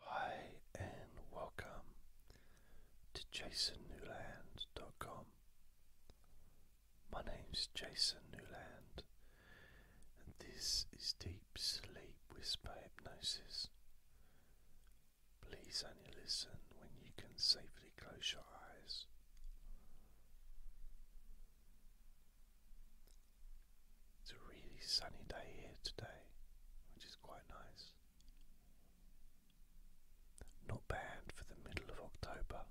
Hi and welcome to jasonnewland.com. My name's Jason Newland and this is Deep Sleep Whisper Hypnosis. Please only listen when you can safely close your eyes. It's a really sunny day here today, which is quite nice. Not bad for the middle of October.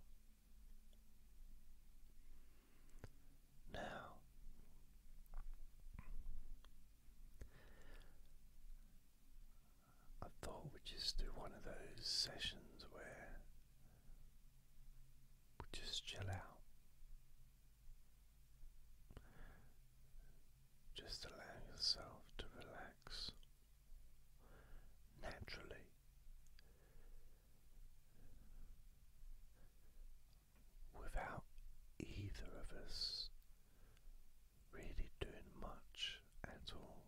Now, I thought we'd just do one of those sessions where we just chill out. Just allow yourself to relax naturally. Without either of us really doing much at all,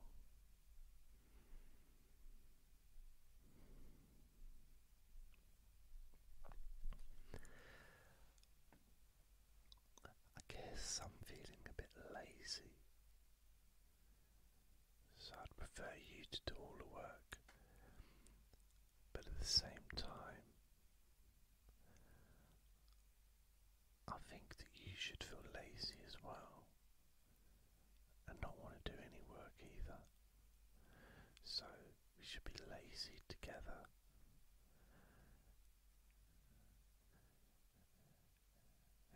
I guess I'm feeling a bit lazy. So I'd prefer you to do all the work, but at the same time, I think that you should feel lazy as well and not want to do any work either. So we should be lazy together.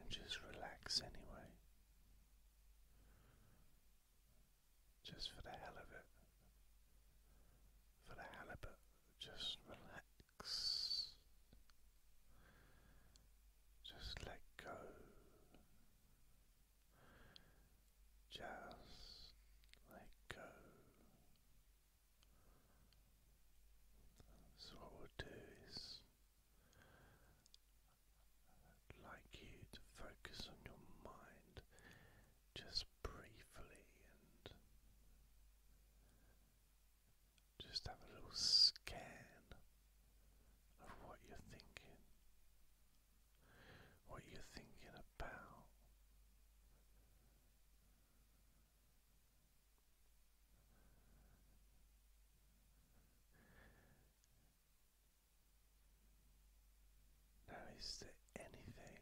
And just relax anyway. Just for the hell of it. For the hell of it. Just relax. Just let go. Just let go. So, what we'll do is like you to focus on your mind just briefly and just have a little scan of what you're thinking what you're thinking about. Now, is there anything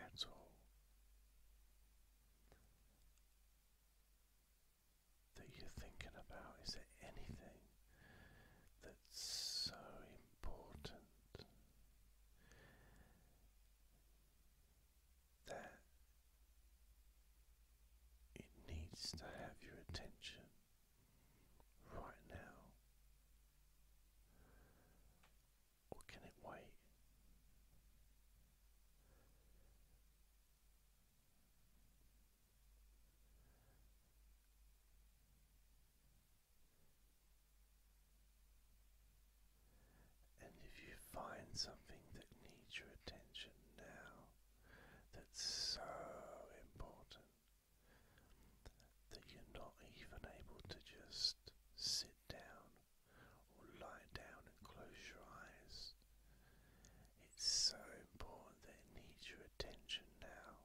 at all that you're thinking about? Is there anything that that's so important. That it needs to have your attention right now, or can it wait? And if you find something that needs your attention now, that's so important that you're not even able to just sit down or lie down and close your eyes, it's so important that it needs your attention now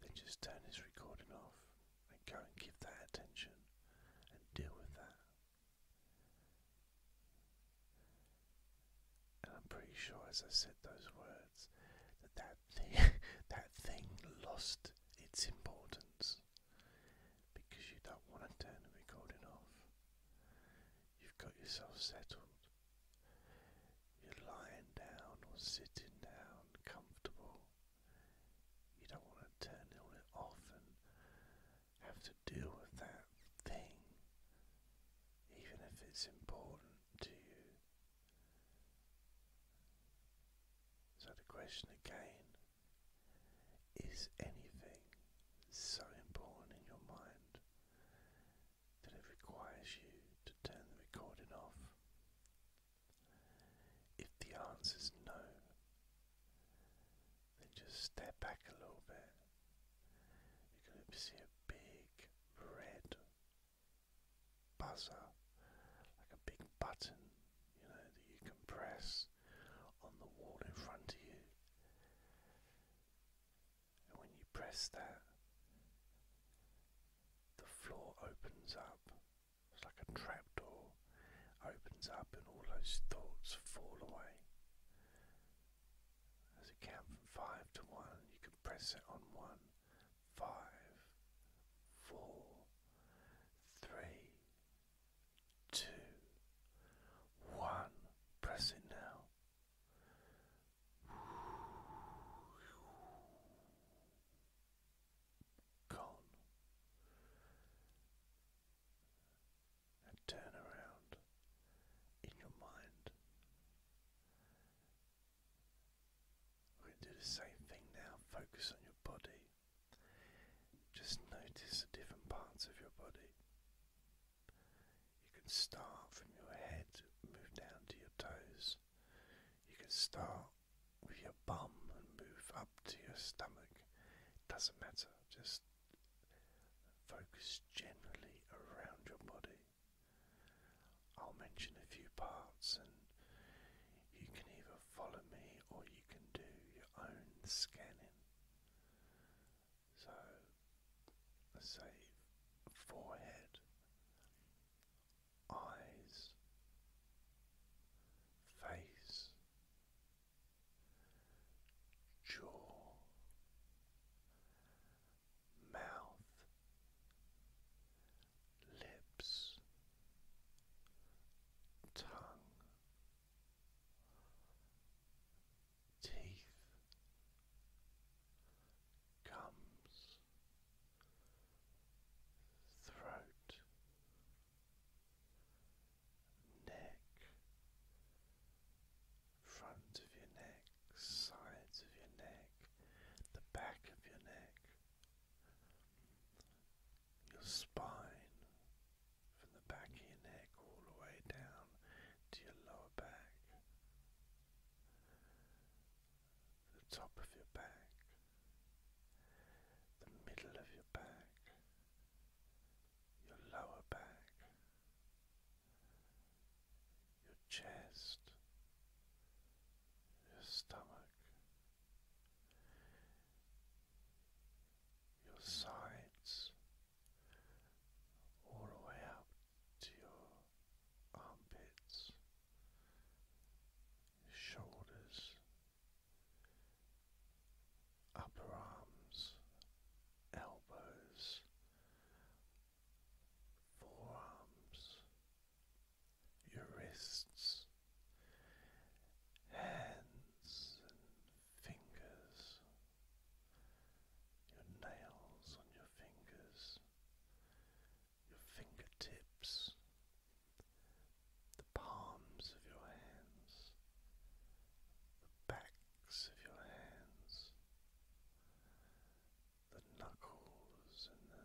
then just turn this recording off and go and give that attention and deal with that. And I'm pretty sure as I said those words that that that thing lost its importance because you don't want to turn the recording off. You've got yourself settled. You're lying down or sitting down, comfortable. You don't want to turn it off and have to deal with that thing, even if it's important to you. So, the question again is anything so important in your mind that it requires you to turn the recording off. If the answer is no, then just step back a little bit. You're see a big red buzzer, like a big button, you know, that you can press on the wall in front of you when you press that, the floor opens up. It's like a trapdoor opens up, and all those thoughts fall away. As you count from five to one, you can press it on one, five, four, three, two, one. Press it now. Gone. And turn around in your mind. We're going to do the same thing now. Focus on your body. Just notice the different parts of your body. You can start from your head, move down to your toes. You can start with your bum and move up to your stomach. It doesn't matter, just focus generally around your body. I'll mention a few parts and you can either follow me or you can do your own scanning. So let's say forehead, eyes, face, jaw, mouth, lips, tongue. Teeth, comes throat, neck, front of your neck, sides of your neck, the back of your neck, your spine, from the back of your neck all the way down to your lower back the top of your back, the middle of your back, your lower back, your chest, your stomach, your sides, all the way up to your armpits, shoulders, upper arms, elbows, forearms, your wrists, hands fingers, your nails on your fingers your fingertips, the palms of your hands, the backs of your hands, the knuckles and the,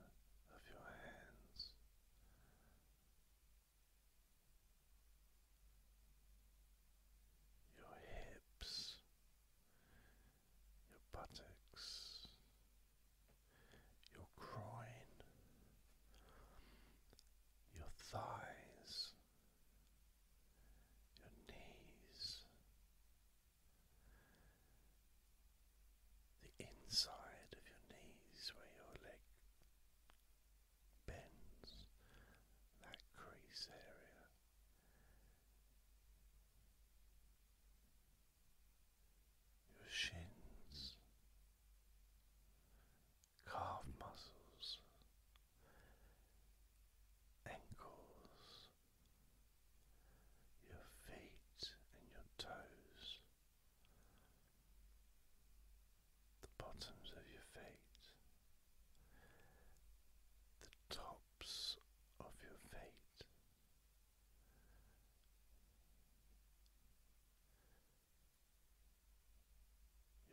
of your hands. Your hips, your buttocks, your groin, your thighs, your knees, the inside of your knees where your leg bends, that crease area your shins, calf muscles, ankles, your feet and your toes, the bottoms of your feet. The top of your feet.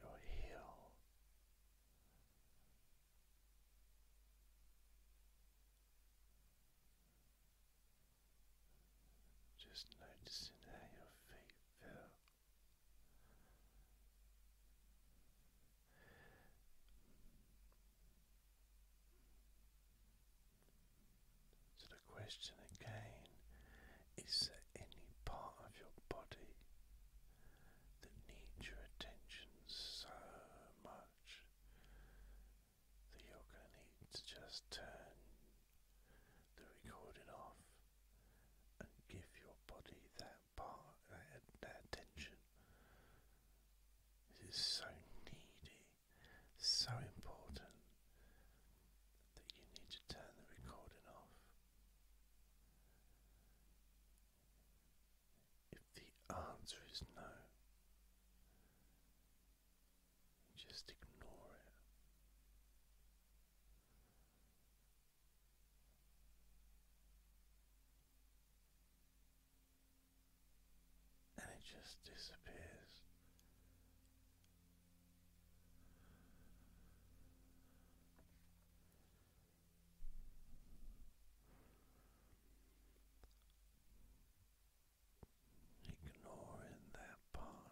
Your heel, just noticing how your feet feel. So the question again is there any part of your body that needs your attention so much that you're going to need to just turn the recording off and give your body that that part, attention. is so needy, so important that you need to turn the recording off. If the answer is no, just ignore it and it just disappears. Ignoring that part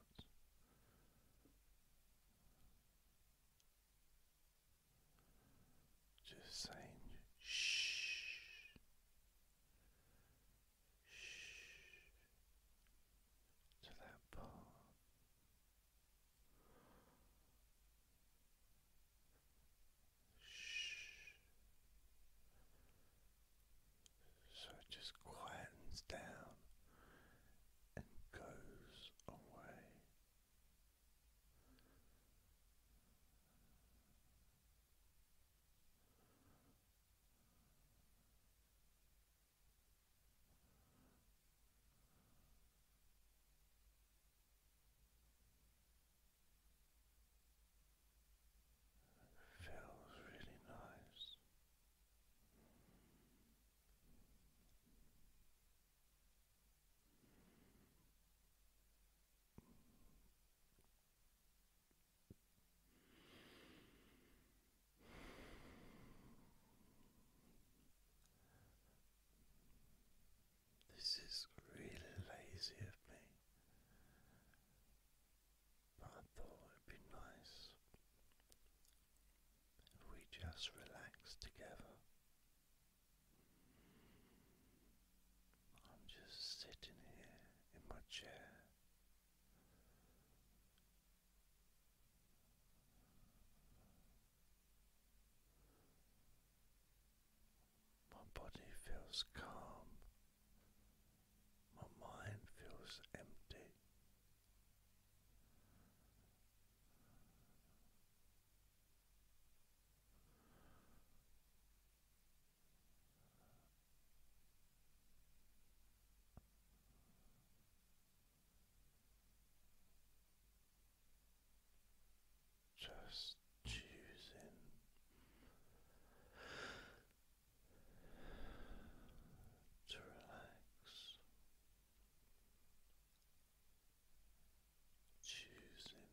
just saying shh, shh to that part. Shh. So it just quietens down and goes away. Feels really nice. This is really lazy of me, but I thought it would be nice if we just relaxed together. I'm just sitting here in my chair. My body feels calm, my mind feels empty. Just choosing to relax choosing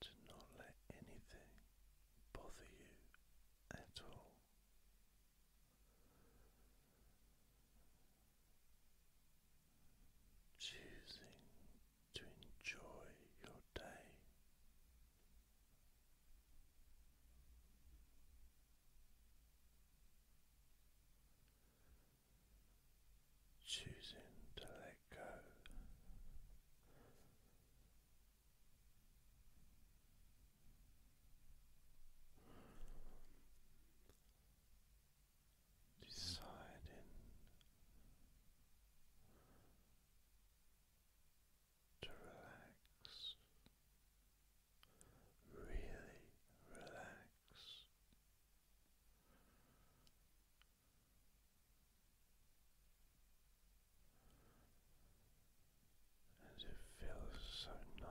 to not let anything bother you at all. Choosing to enjoy your day choosing to let go. Deciding to relax, really relax, as it feels so nice.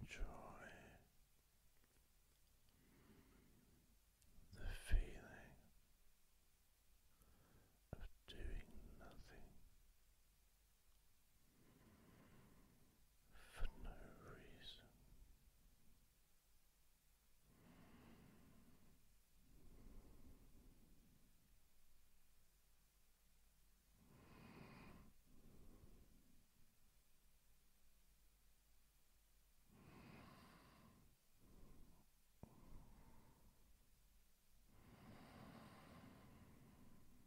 Enjoy the feeling of doing nothing for no reason.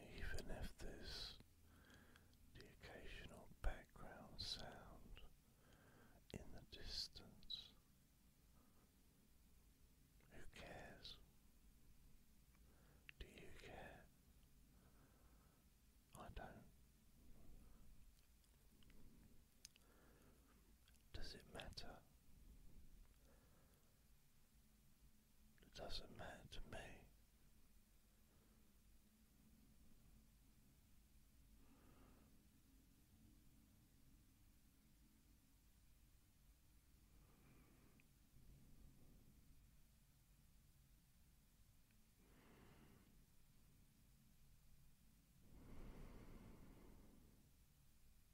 Even if there's the occasional background sound in the distance, who cares? Do you care? I don't. Does it matter? It doesn't matter to me.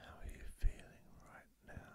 How are you feeling right now?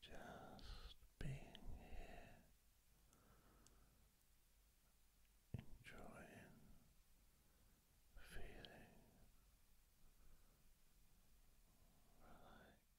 Just being here, enjoying, feeling relaxed.